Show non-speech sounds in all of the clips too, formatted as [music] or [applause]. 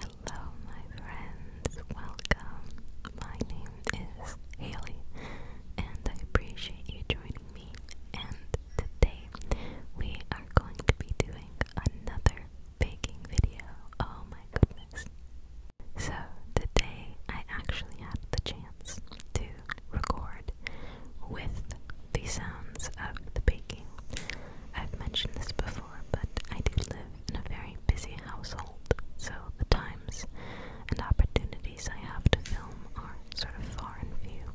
Hello, my friends, welcome. My name is Haley, and I appreciate you joining me. And today we are going to be doing another baking video. Oh my goodness! So, today I actually had the chance to record with the sounds of the baking. I've mentioned this before but I do live in a very busy household, so the times and opportunities I have to film are sort of far and few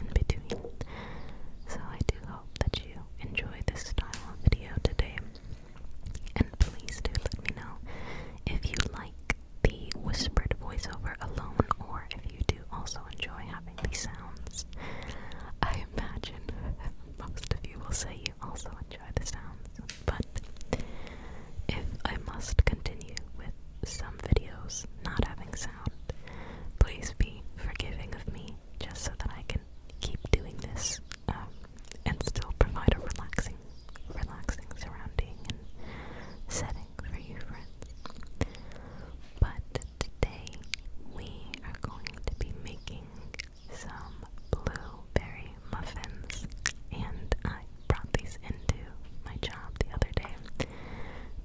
in between. So I do hope that you enjoy this style of video today. And please do let me know if you like the whispered voiceover alone or if you do also enjoy having these sounds. I imagine most of you will say you also enjoy the sounds, but if I must continue with some videos not having sound, please be forgiving of me just so that I can keep doing this um, and still provide a relaxing, relaxing surrounding and setting for you friends. But today we are going to be making some blueberry muffins, and I brought these into my job the other day,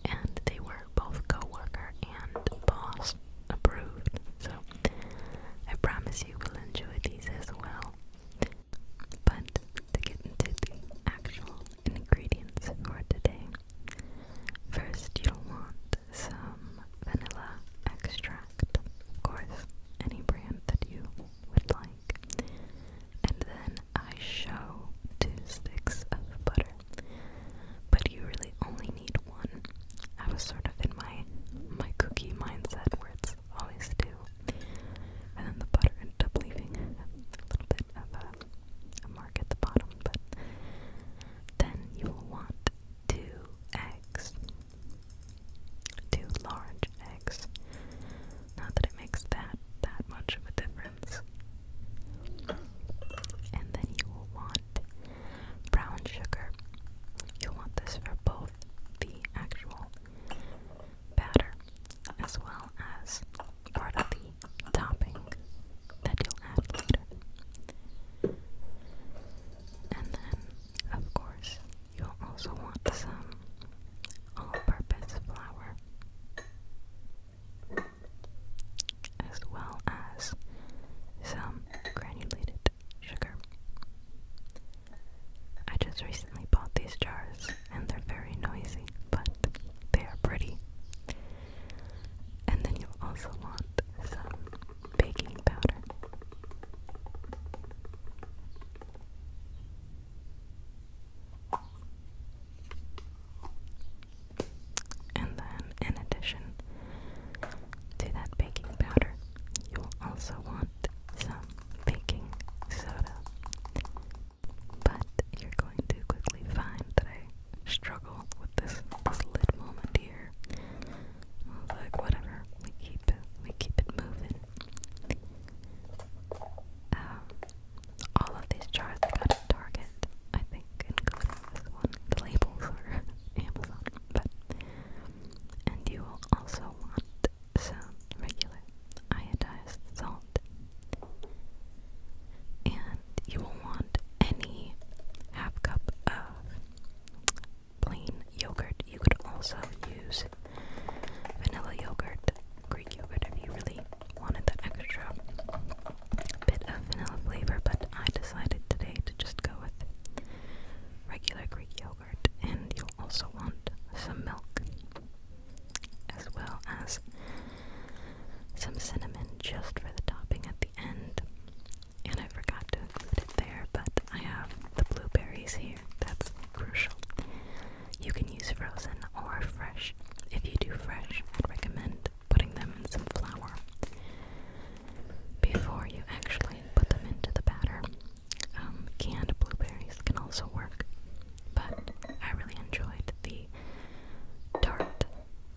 and they were both coworker and boss approved. So I promise you will enjoy these as well. But to get into the actual ingredients for today, first you'll want some vanilla extract, of course, any brand that you would like, and then I show two sticks of butter. But you really only need one. I was sort of in my my cookie mindset where it's always two, and then the butter ended up leaving a little bit of a, a mark at the bottom. But then you will want two eggs. Two large eggs. Not that it makes that that much of a difference. And then you will want brown sugar. You'll want this for both the actual batter as well as part of the topping that you'll add and then, of course, you'll also want some all-purpose flour. As well as some granulated sugar. I just recently bought these jars and they're very noisy, but they are pretty. And then you'll also want some baking powder. And then, in addition to that baking powder, you will also want some baking soda. But you're going to quickly find that I struggle with with this this lit moment here. like, whatever, we keep we keep it moving. Um, all of these jars got at Target, I think, this one. The labels are [laughs] Amazon, but and you will also want some regular iodized salt. And you will want any half cup of plain yogurt. You could also use vanilla yogurt, Greek yogurt, if you really wanted that extra bit of vanilla flavor. But I decided today to just go with regular Greek yogurt, and you'll also want some milk as well as some cinnamon just for the topping at the end and I forgot to include it there, but I have the blueberries here. That's crucial. You can use frozen or fresh. If you do fresh, I'd recommend putting them in some flour before you actually put them into the batter. Um, canned blueberries can also work, but I really enjoyed the tart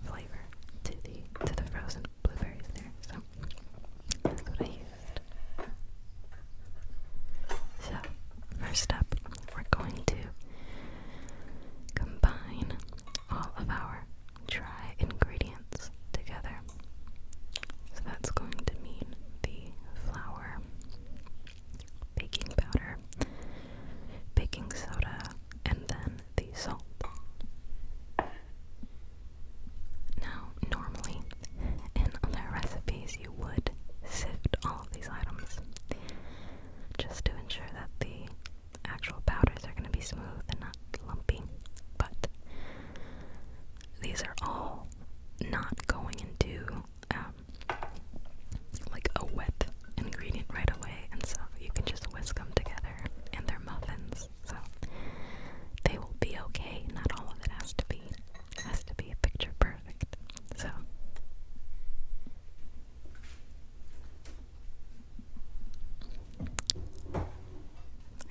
flavor to the to the frozen blueberries there. So so, first up, we're going to combine all of our dry ingredients together. So, that's going to mean the flour, baking powder, baking soda, and then the salt. Now, normally, in other recipes, you would sift all of these items just to ensure that the actual powders are going to be smooth and not lumpy. But these are all not going into um, like a wet ingredient right away, and so you can just whisk them together, and they're muffins. So they will be okay. Not all of it has to be has to be picture perfect. So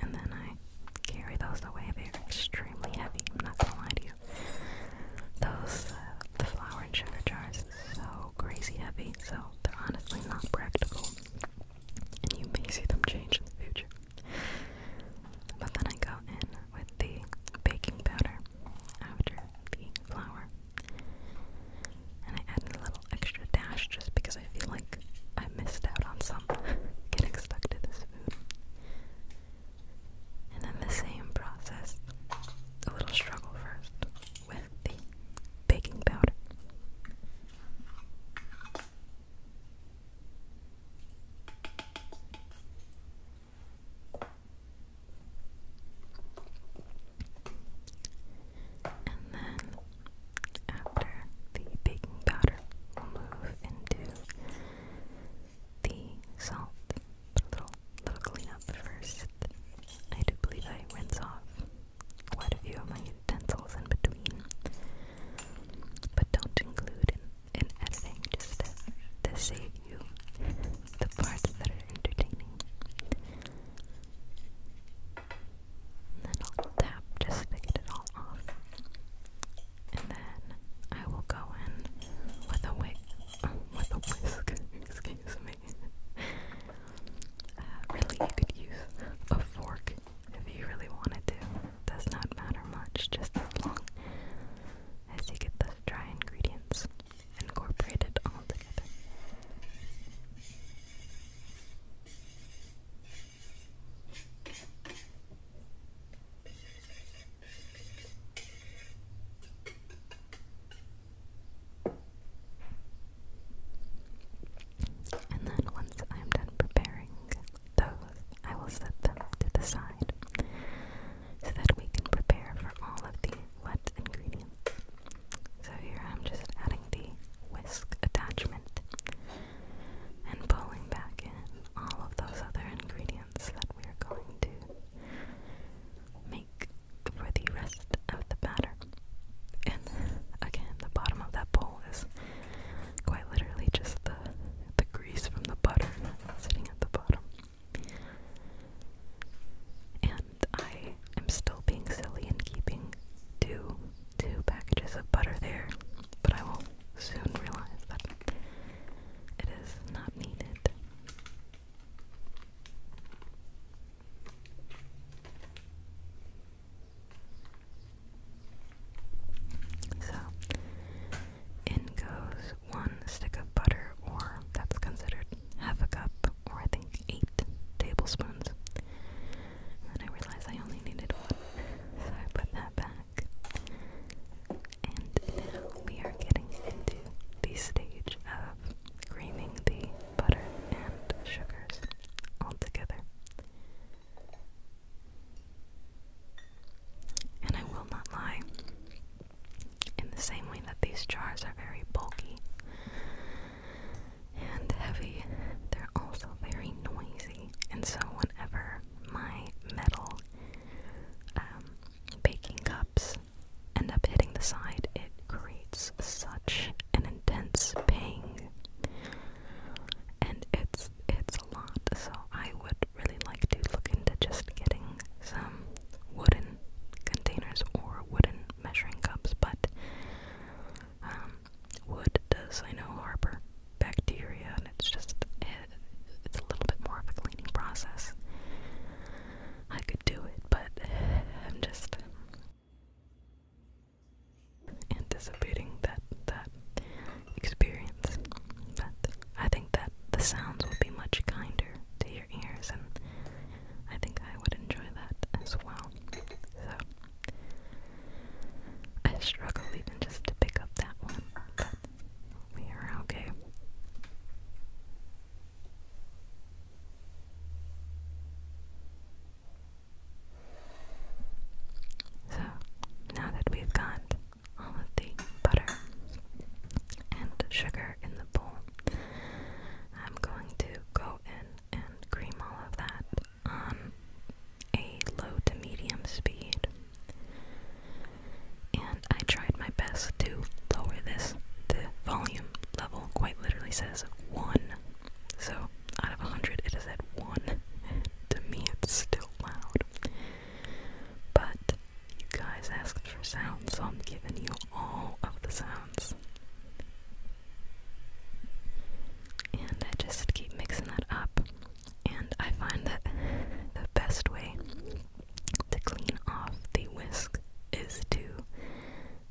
and then I carry those away. They're extremely heavy. I'm not gonna lie to you. Those uh, the flour and sugar jars so crazy heavy. So they're honestly not practical. And you may see them change in the future. But then I go in with the baking powder after the flour. And I added a little extra dash just because I feel like I missed out on some [laughs] getting stuck to this food. And then the same process, a little struggle first with the baking powder. And then after the baking powder, we'll move into the salt. little, little cleanup first. I do believe I rinse off quite a few of my utensils in between but don't include in, in editing just to, save you the parts that are entertaining. then I'll tap just to get it all off. And then I will go in with a wig, [laughs] with a whisk, [laughs] excuse me. Uh, really, you could use a fork if you really wanted to. does not matter much, just as long as you get the dry ingredients incorporated all together. And then once I'm done preparing those I will set them to the side so that we can prepare for all of the wet ingredients. So here I'm just adding the whisk attachment and pulling back in all of those other ingredients that we are going to make for the rest of the batter. And again, the bottom of that bowl is Quite literally just the the grease from the butter sitting at the bottom. And I am still being silly and keeping two two packages of butter there, but I will soon realize that it is not needed. So, in goes one stick of butter, or that's considered half a cup, or I think eight tablespoons. And I realized I only needed one, so I put that back. And now we are getting into the stage of creaming the butter and sugars all together. And I will not lie, in the same way that these jars are very bulky and heavy, they're also very noisy. And so, whenever my metal um, baking cups end up hitting the side, it creates such an intense ping. And it's it's a lot, so I would really like to look into just getting some wooden containers or wooden measuring cups, but um, wood does I know harbor bacteria, and it's just eh, it's a little bit more of a cleaning process. I could do it, but [sighs] I'm just anticipating that that experience. But I think that the sounds would be much kinder to your ears, and I think I would enjoy that as well. So I struggle just to pick up that one, but we are okay. So, now that we've got all of the butter and sugar in the bowl, I'm going to go in and cream all of that on a low to medium speed. And I tried my best to lower this. The volume level quite literally says one. So out of 100, it is at 1. to me, it's still loud. But you guys asked for sounds, so I'm giving you all of the sounds. And I just keep mixing that up. And I find that the best way to clean off the whisk is to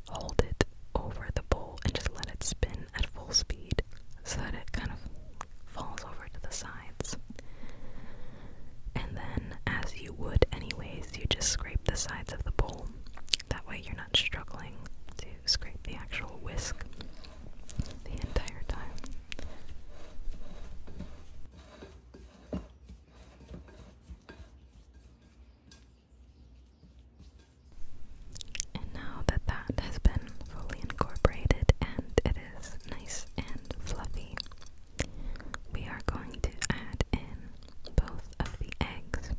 hold it over the bowl and just let it spin at full speed so that it kind of falls over to the sides. And then, as you would anyways, you just scrape the sides of the bowl. That way, you're not struggling to scrape the actual whisk the entire time. And now that that has been fully incorporated and it is nice and fluffy, we are going to add in both of the eggs.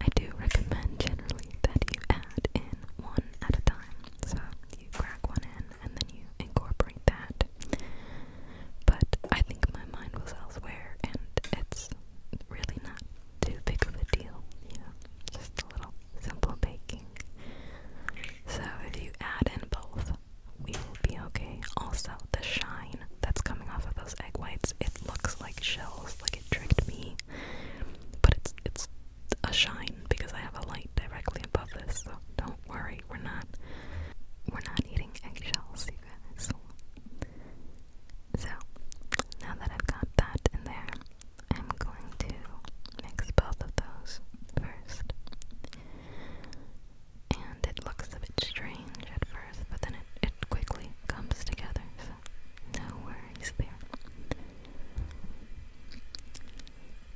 I do recommend generally that you add in one at a time. So you crack one in and then you incorporate that. But I think my mind was elsewhere and it's really not too big of a deal, you know, just a little simple baking. So if you add in both, we will be okay. Also, the shine that's coming off of those egg whites, it looks like shells, like it tricked me. But it's it's a shine because I have a light directly above this, so don't worry, we're not we're not eating eggshells, you guys. So now that I've got that in there, I'm going to mix both of those first. And it looks a bit strange at first, but then it, it quickly comes together, so no worries there.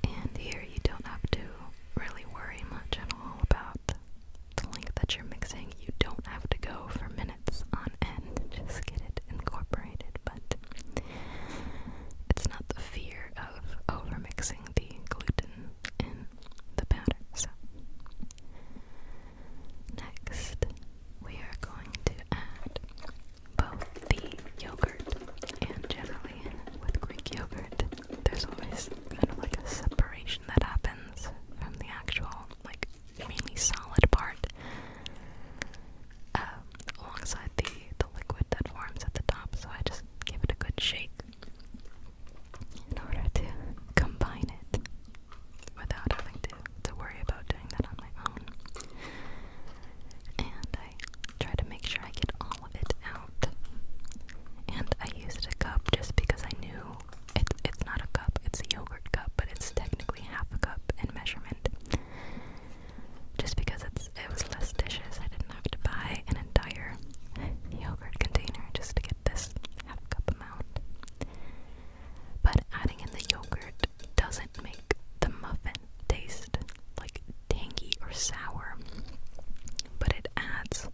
And here you don't have to really worry much at all about the length that you're mixing. You don't have to go for minutes on end, just get it incorporated, but it's not the fear of overmixing the gluten in the batter. So next we are going to add both the yogurt and generally with Greek yogurt there's always kind of like a separation that happens from the actual like mainly solid part. Um, alongside the, the liquid that forms at the top, so I just give it a good shake in order to combine it without having to, to worry about doing that on my own. And I try to make sure I get all of it out. And I used a cup just because I knew it, it's not a cup, it's a yogurt cup, but it's technically half a cup in measurement. Just because it's it was less dishes, I didn't have to buy an entire yogurt container just to get this half cup amount. But adding in the yogurt doesn't make the muffin taste like tangy or sour, but it adds.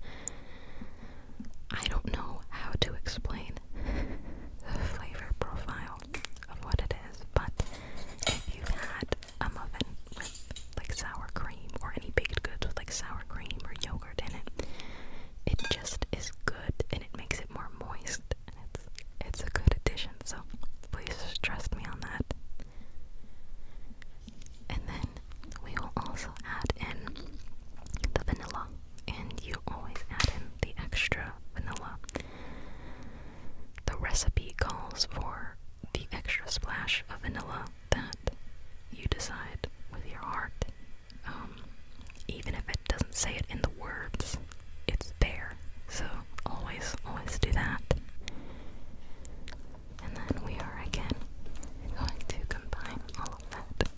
I don't know how to explain the flavor profile of what it is, but if you had a muffin with like sour cream or any baked goods with like sour cream or yogurt in it. It just is good and it makes it more moist and it's it's a good addition, so please trust me on that. And then we will also add in the vanilla and you always add in the extra vanilla the recipe calls for the extra splash of vanilla that you decide with your heart. Um, even if it doesn't say it in the words, it's there. So always, always do that. And then we are again going to combine all of that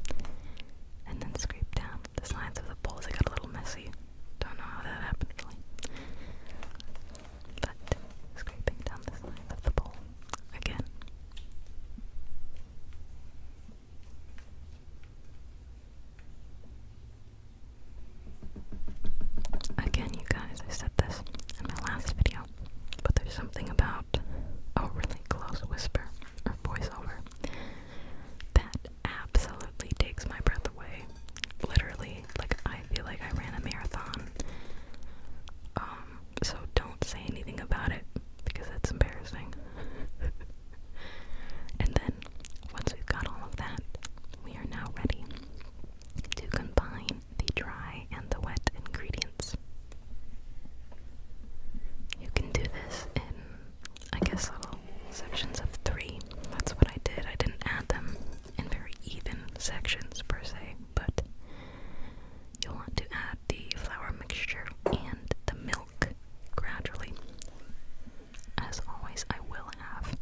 and then scrape down the sides of the bowls. It got a little messy don't know how that happened really. But scraping down the side of the bowl again. Again, you guys, I said this in my last video, but there's something about a really close whisper or voiceover that absolutely takes my breath away literally like I feel like I ran a marathon. Um, so don't say anything about it because that's embarrassing. [laughs] and then once we've got all of that, we are now ready to combine the dry and the wet ingredients. You can do this in, I guess, little sections of three. That's what I did. I didn't add them in very even sections per se, but you'll want to add the flour mixture and the milk gradually. As always, I will have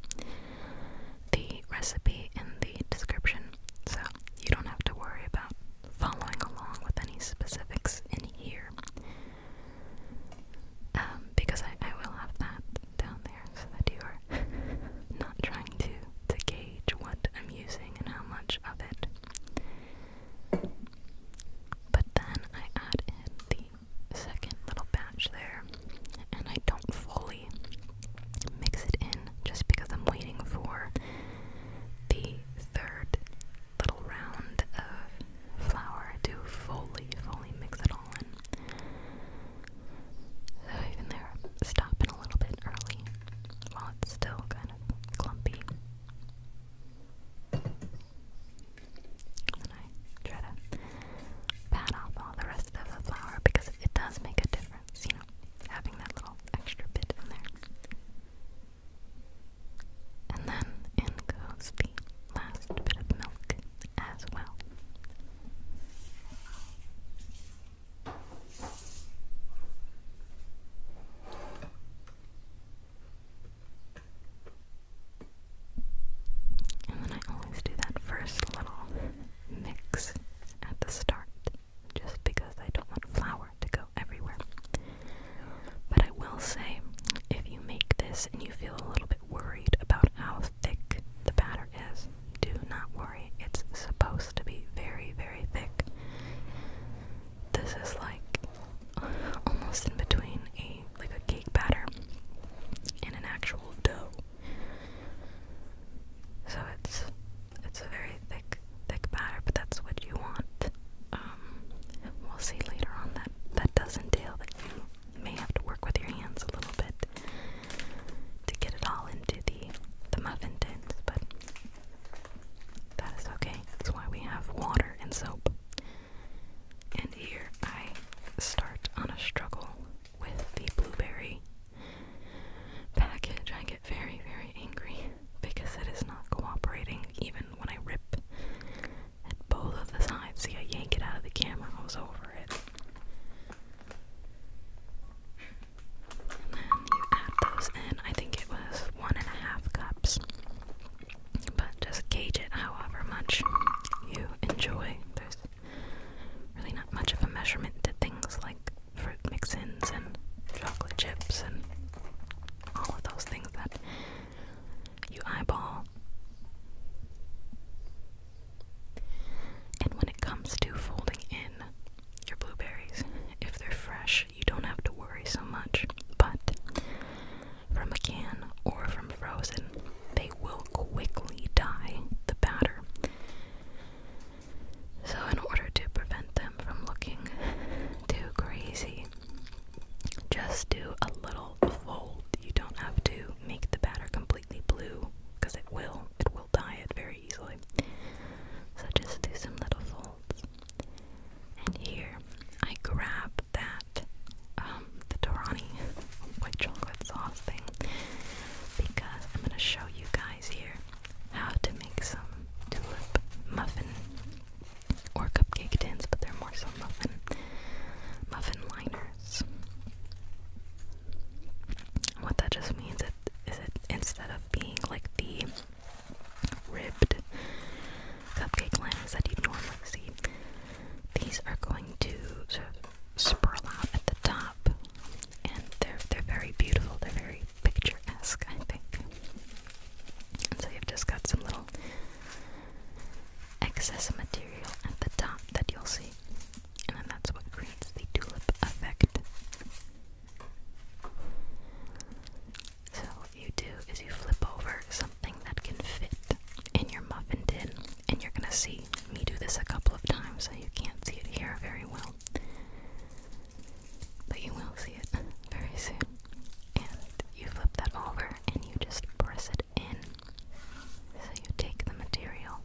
the recipe in the description, so you don't have to worry about following along with any specifics in here. Um, because I will have that down there so that you are [laughs] not trying to to gauge what I'm using and how much of it. But then I add in the second little batch there, and I don't fully mix it in just because I'm waiting for the third little round of flour to fully, fully mix it all in. So even there, stopping a little bit early while it's still kind of clumpy. And I try to pat off all the rest of the flour because it does make a difference, you know, having that little extra bit in there. And then in goes the last bit of milk as well. And then I always do that first little mix at the start, just because I don't want flour to go everywhere. But I will say, if you make this and you feel a little bit worried about how thick the batter is, do not worry, it's supposed to be very, very thick. This is like [laughs] almost in between a like a cake batter and an actual dough. So it's it's a very thick thick batter, but that's what you want. Um, we'll see later on that that does entail that you you may have to work with your hands a little bit to get it all into the the muffin tins, but that is okay. That's why we have water and soap. And here I start on a struggle with the blueberry package. I get very, very angry because it is not cooperating even when I rip at both of the sides. See, I yank it out of the camera, I was over it then you add those in. I think it was one and a half cups. But just gauge it however much you enjoy. There's really not much of a measurement to things like fruit mix ins and chocolate chips and all of those things that you eyeball. And when it comes to folding in your blueberries, if they're fresh, you don't have to worry so much. But from a can or from frozen, they will quickly dye the batter. So, in order to prevent them from looking too crazy, just do a little fold. You don't have to make the batter complete completely blue, because it will, it will dye it very easily. So just do some little folds. And here, I grab that, um, the Dorani [laughs] white chocolate sauce thing, because I'm gonna show you guys here how to make some tulip muffin or cupcake tins, but they're more so muffin muffin liners. What that just means is that instead of being like the ribbed cupcake liners that you normally see, these are going to sort of spurl out at the top, and they're they're very beautiful. They're very picturesque, I think. And so you've just got some little excess material at the top that you'll see. And that's what creates the tulip effect. So, what you do is you flip over something that can fit in your muffin tin, and you're gonna see me do this a couple of times, so you can't see it here very well. But you will see it very soon. And you flip that over and you just press it in. So you take the material,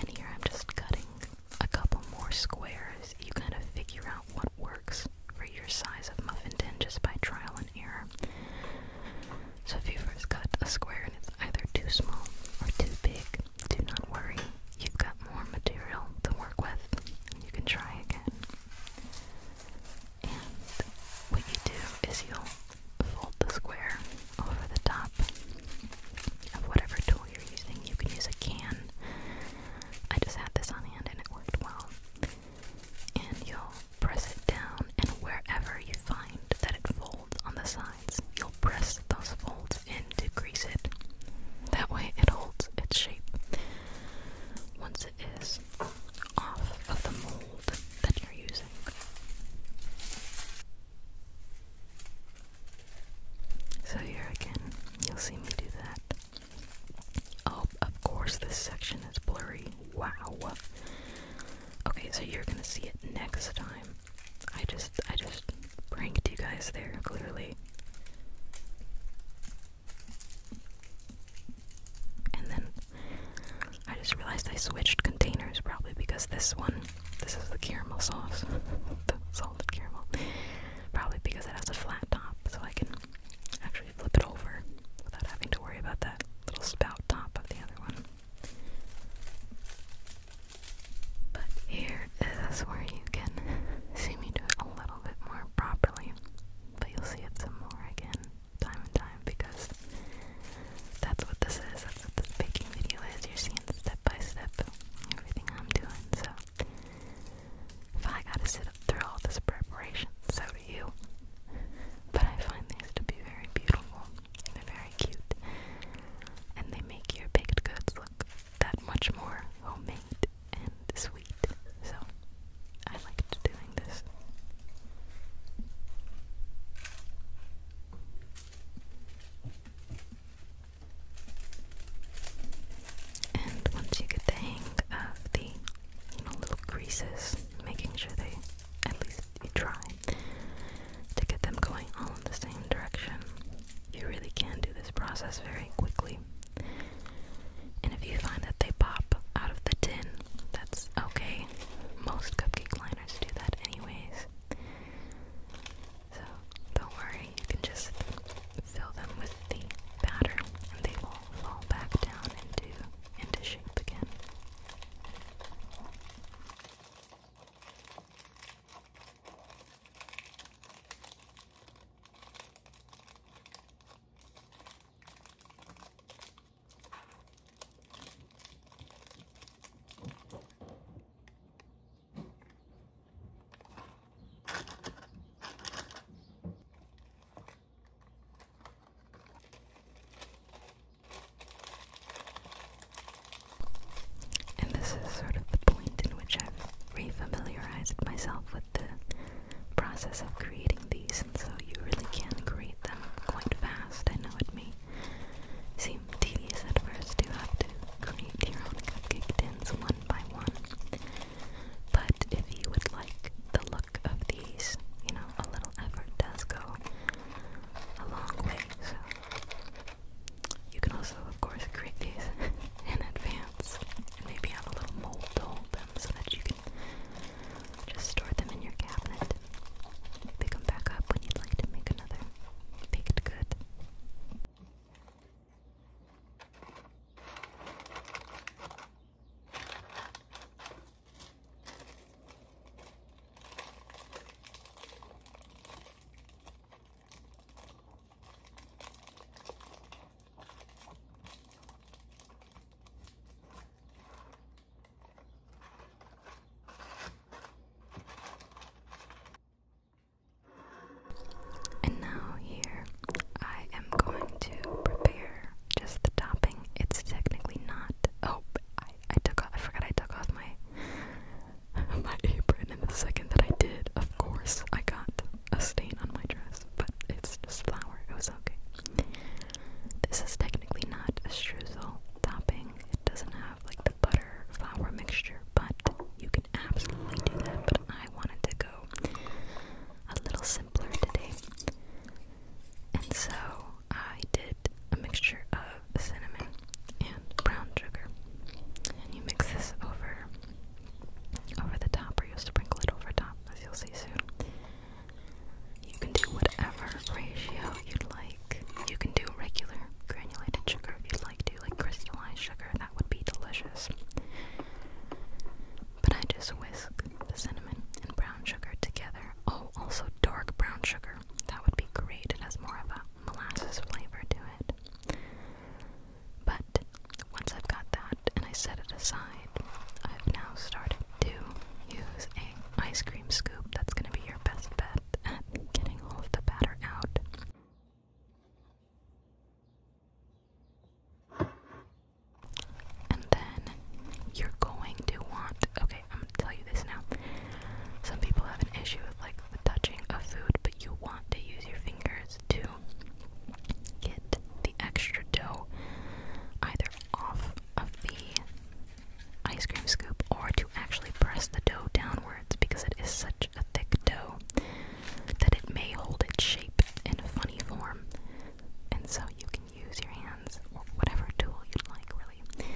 and here I'm just cutting a couple more squares. You kind of figure out what works for your size of muffin tin just by trial and error. So if you first cut a square and it's either too small or too big, do not worry. You've got more material to work with you can try again. And what you do is you'll fold the square over the top of whatever tool you're using. You can use a can. I just had this on hand and it worked well. And you'll press it down, and wherever you find that it folds on the sides, you'll press those folds in to grease it. That way, it holds its shape. Once it is off of the mold that you're using, so here again, you'll see me do that. Oh, of course, this section is blurry. Wow. Okay, so you're gonna see it next time. I just, I just pranked you guys there, clearly. And then I just realized I switched containers probably because this one this is the caramel sauce, [laughs] the salted caramel. Probably because it has a flat top, so I can actually flip it over without having to worry about that little spout top of the other one. But here is where you can see me do it a little bit more properly, but you'll see it some more again, time and time, because that's what this is. That's what this baking video is. You're seeing step by step everything I'm doing. So if I gotta sit up through all this preparation, so do you. But I find these to be very beautiful. And they're very cute. And they make your baked goods look that much more homemade and sweet. So I like doing this. And once you get the hang of the little creases, making sure they at least you try to get them going all in the same direction, you really can do this process very quickly. And if you find that they pop out of the tin, that's okay. Most cupcake liners do that anyways. So don't worry, you can just fill them with the batter and they will fall back down into into shape again. And this is sort of the point in which I've re-familiarized myself with the process of creating these, and so you really can create them quite fast. I know it may Seem tedious at first to have to create your own cupcake tins one by one. But if you would like the look of these, you know, a little effort does go a long way, so you can also, of course, create these [laughs] in advance and maybe have a little mold hold them so that you can just store them in your cabinet. Pick them back up when you'd like to make another. Baked good. And now, here I am going to prepare just the topping. It's technically not. Oh, I, I took off. I forgot I took off my [laughs] my apron, in the second that I did, of course, I got a stain on my dress. But it's just flour. It was okay. This is technically not a streusel topping. It doesn't have like the butter flour mixture, but you can absolutely do that. But I wanted to go a little simpler today, and so I did a mixture of cinnamon and brown sugar, and you mix this over over the top, or you'll sprinkle it over top, as you'll see soon. You can do whatever ratio you'd like. You can do regular granulated sugar if you'd like to, like crystallized sugar, that would be delicious. But I just whisk the cinnamon and brown sugar together. Oh, also dark brown sugar. That would be great. It has more of a molasses flavor to it. But once I've got that and I set it aside, I've now started to use a ice cream scoop. That's going to be your best bet at getting all of the batter out. And then you're going to want, okay, I'm gonna tell you this now. Some people have an issue with like the touching of food, but you want to use your fingers to get the extra dough either off of the ice cream scoop or to actually press the dough downwards because it is such a thick dough that it may hold its shape in a funny form. And so you can use your hands or whatever tool you'd like, really,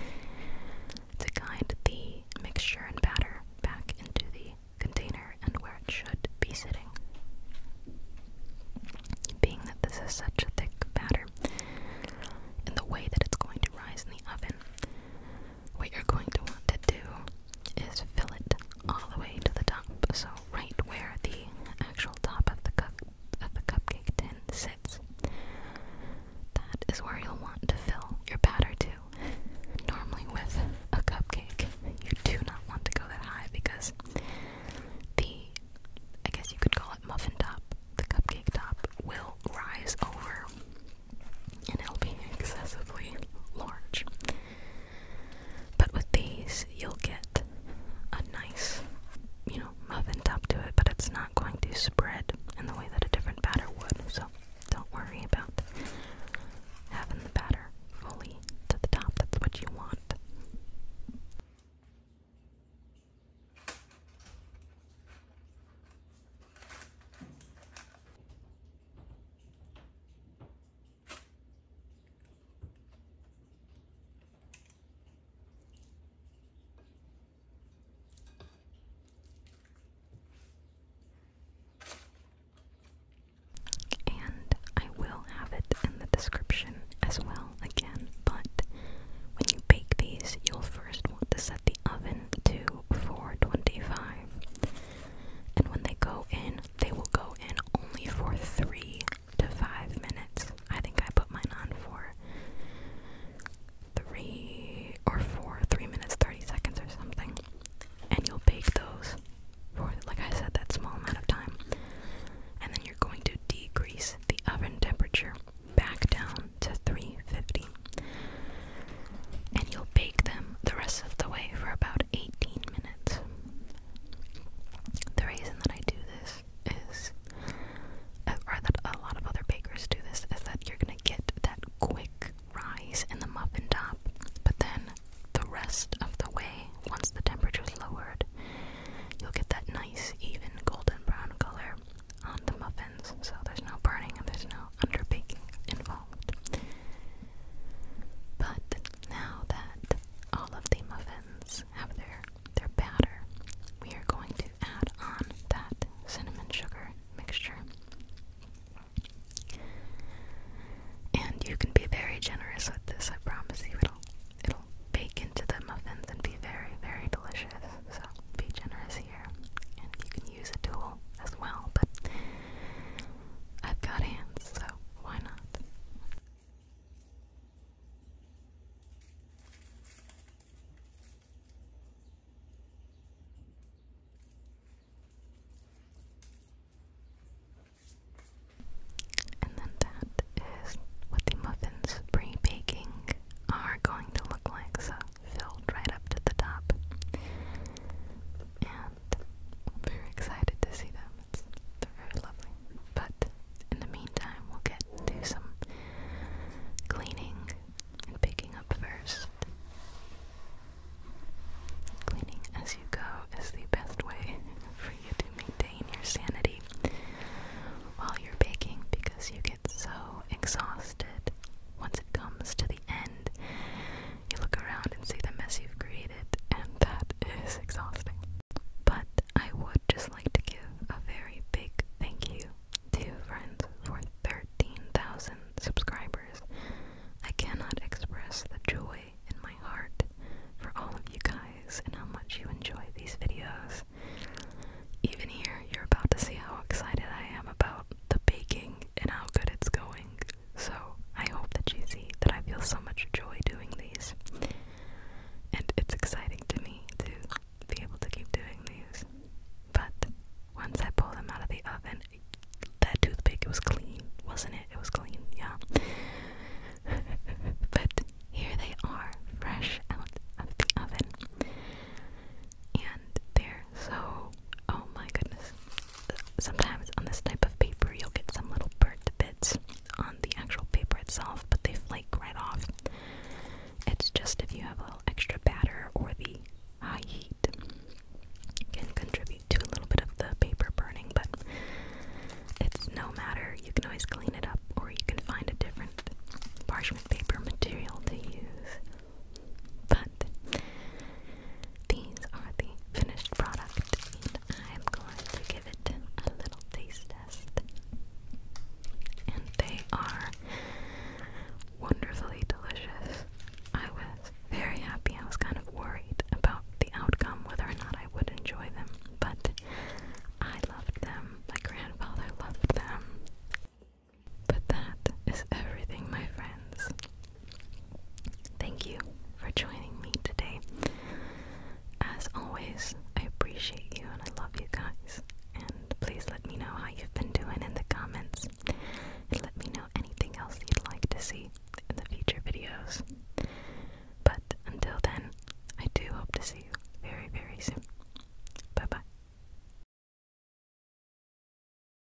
to guide the mixture and batter back into the container and where it should be sitting. Being that this is such a thick batter, and the way that it's going to rise in the oven, what you're going to want to do is fill it all the way to the top. So right where the actual top of the cup of the cupcake tin sits. That is where you'll want to fill your batter to. Normally with a cupcake, you do not want to go that high because the I guess you could call it muffin top, the cupcake top will rise over and it'll be excessively large. But with these, you'll get a nice, you know, muffin top to it, but it's not going to spread in the way that a different batter would. So don't worry about having the batter fully to the top. That's what you want. And I will have it in the description as well again, but when you bake these, you'll first want to set the oven to for 25. And when they go in, they will go in only for 3 to 5 minutes. I think I put mine on for 3 or 4, 3 minutes 30 seconds or something. And you'll bake those for, like I said, that small amount of time. And then you're going to decrease the oven temperature back down to 350 and you'll bake them the rest of the way for about 18 minutes. The reason that I do this is, uh, or that a lot of other bakers do this, is that you're gonna get that quick rise in the muffin top, but then the rest of the way, once the temperature's lowered, you'll get that nice, even golden brown color on the muffins, so there's no burning and there's no underbaking involved involved. But now that all of the muffins have their their batter, we are going to add on that cinnamon sugar mixture. And you can be very generous with this, I promise you it'll it'll bake into the muffins and be very, very delicious. So be generous and you can use a tool as well, but I've got hands, so why not? And then that is what the muffins pre-baking are going to look like. So filled right up to the top. And I'm very excited to see them. they're very lovely. But in the meantime, we'll get to some cleaning and picking up first. Cleaning as you go is the best way [laughs] for you to maintain your sanity while you're baking because you get so exhausted once it comes to the end you look around and see the mess you've created, and that is exhausting. But I would just like to give a very big thank you to friends for 13,000 subscribers. I cannot express the joy in my heart for all of you guys and how much you enjoy these videos. Even here, you're about to see how excited I am about the baking and how good it's going. So I hope that you see that I feel so much joy doing these. And it's exciting to me to be able to keep doing these. But once I pull them out of the oven, that toothpick was clean, wasn't it? It was clean, yeah. [laughs] but here they are, fresh out of the oven. And they're so, oh my goodness, sometimes on this type of paper you'll get some little burnt bits on the actual paper itself, but they flake right off. It's just if you have a little extra batter or the high heat can contribute to a little bit of the paper burning, but it's no matter. You can always clean it up or you can find a different parchment paper material to use. But these are the finished product, and I'm going to give it a little taste test. And they are wonderfully delicious. I was very happy. I was kind of worried about the outcome, whether or not I would enjoy them, but I loved them. My grandfather loved them. But that is everything, my friends. Thank you for joining me today. As always, I appreciate you and I love you guys. And please let me know how you've been doing in the comments. And let me know anything else you'd like to see in the future videos. But until then, I do hope to see you very, very soon. Bye bye.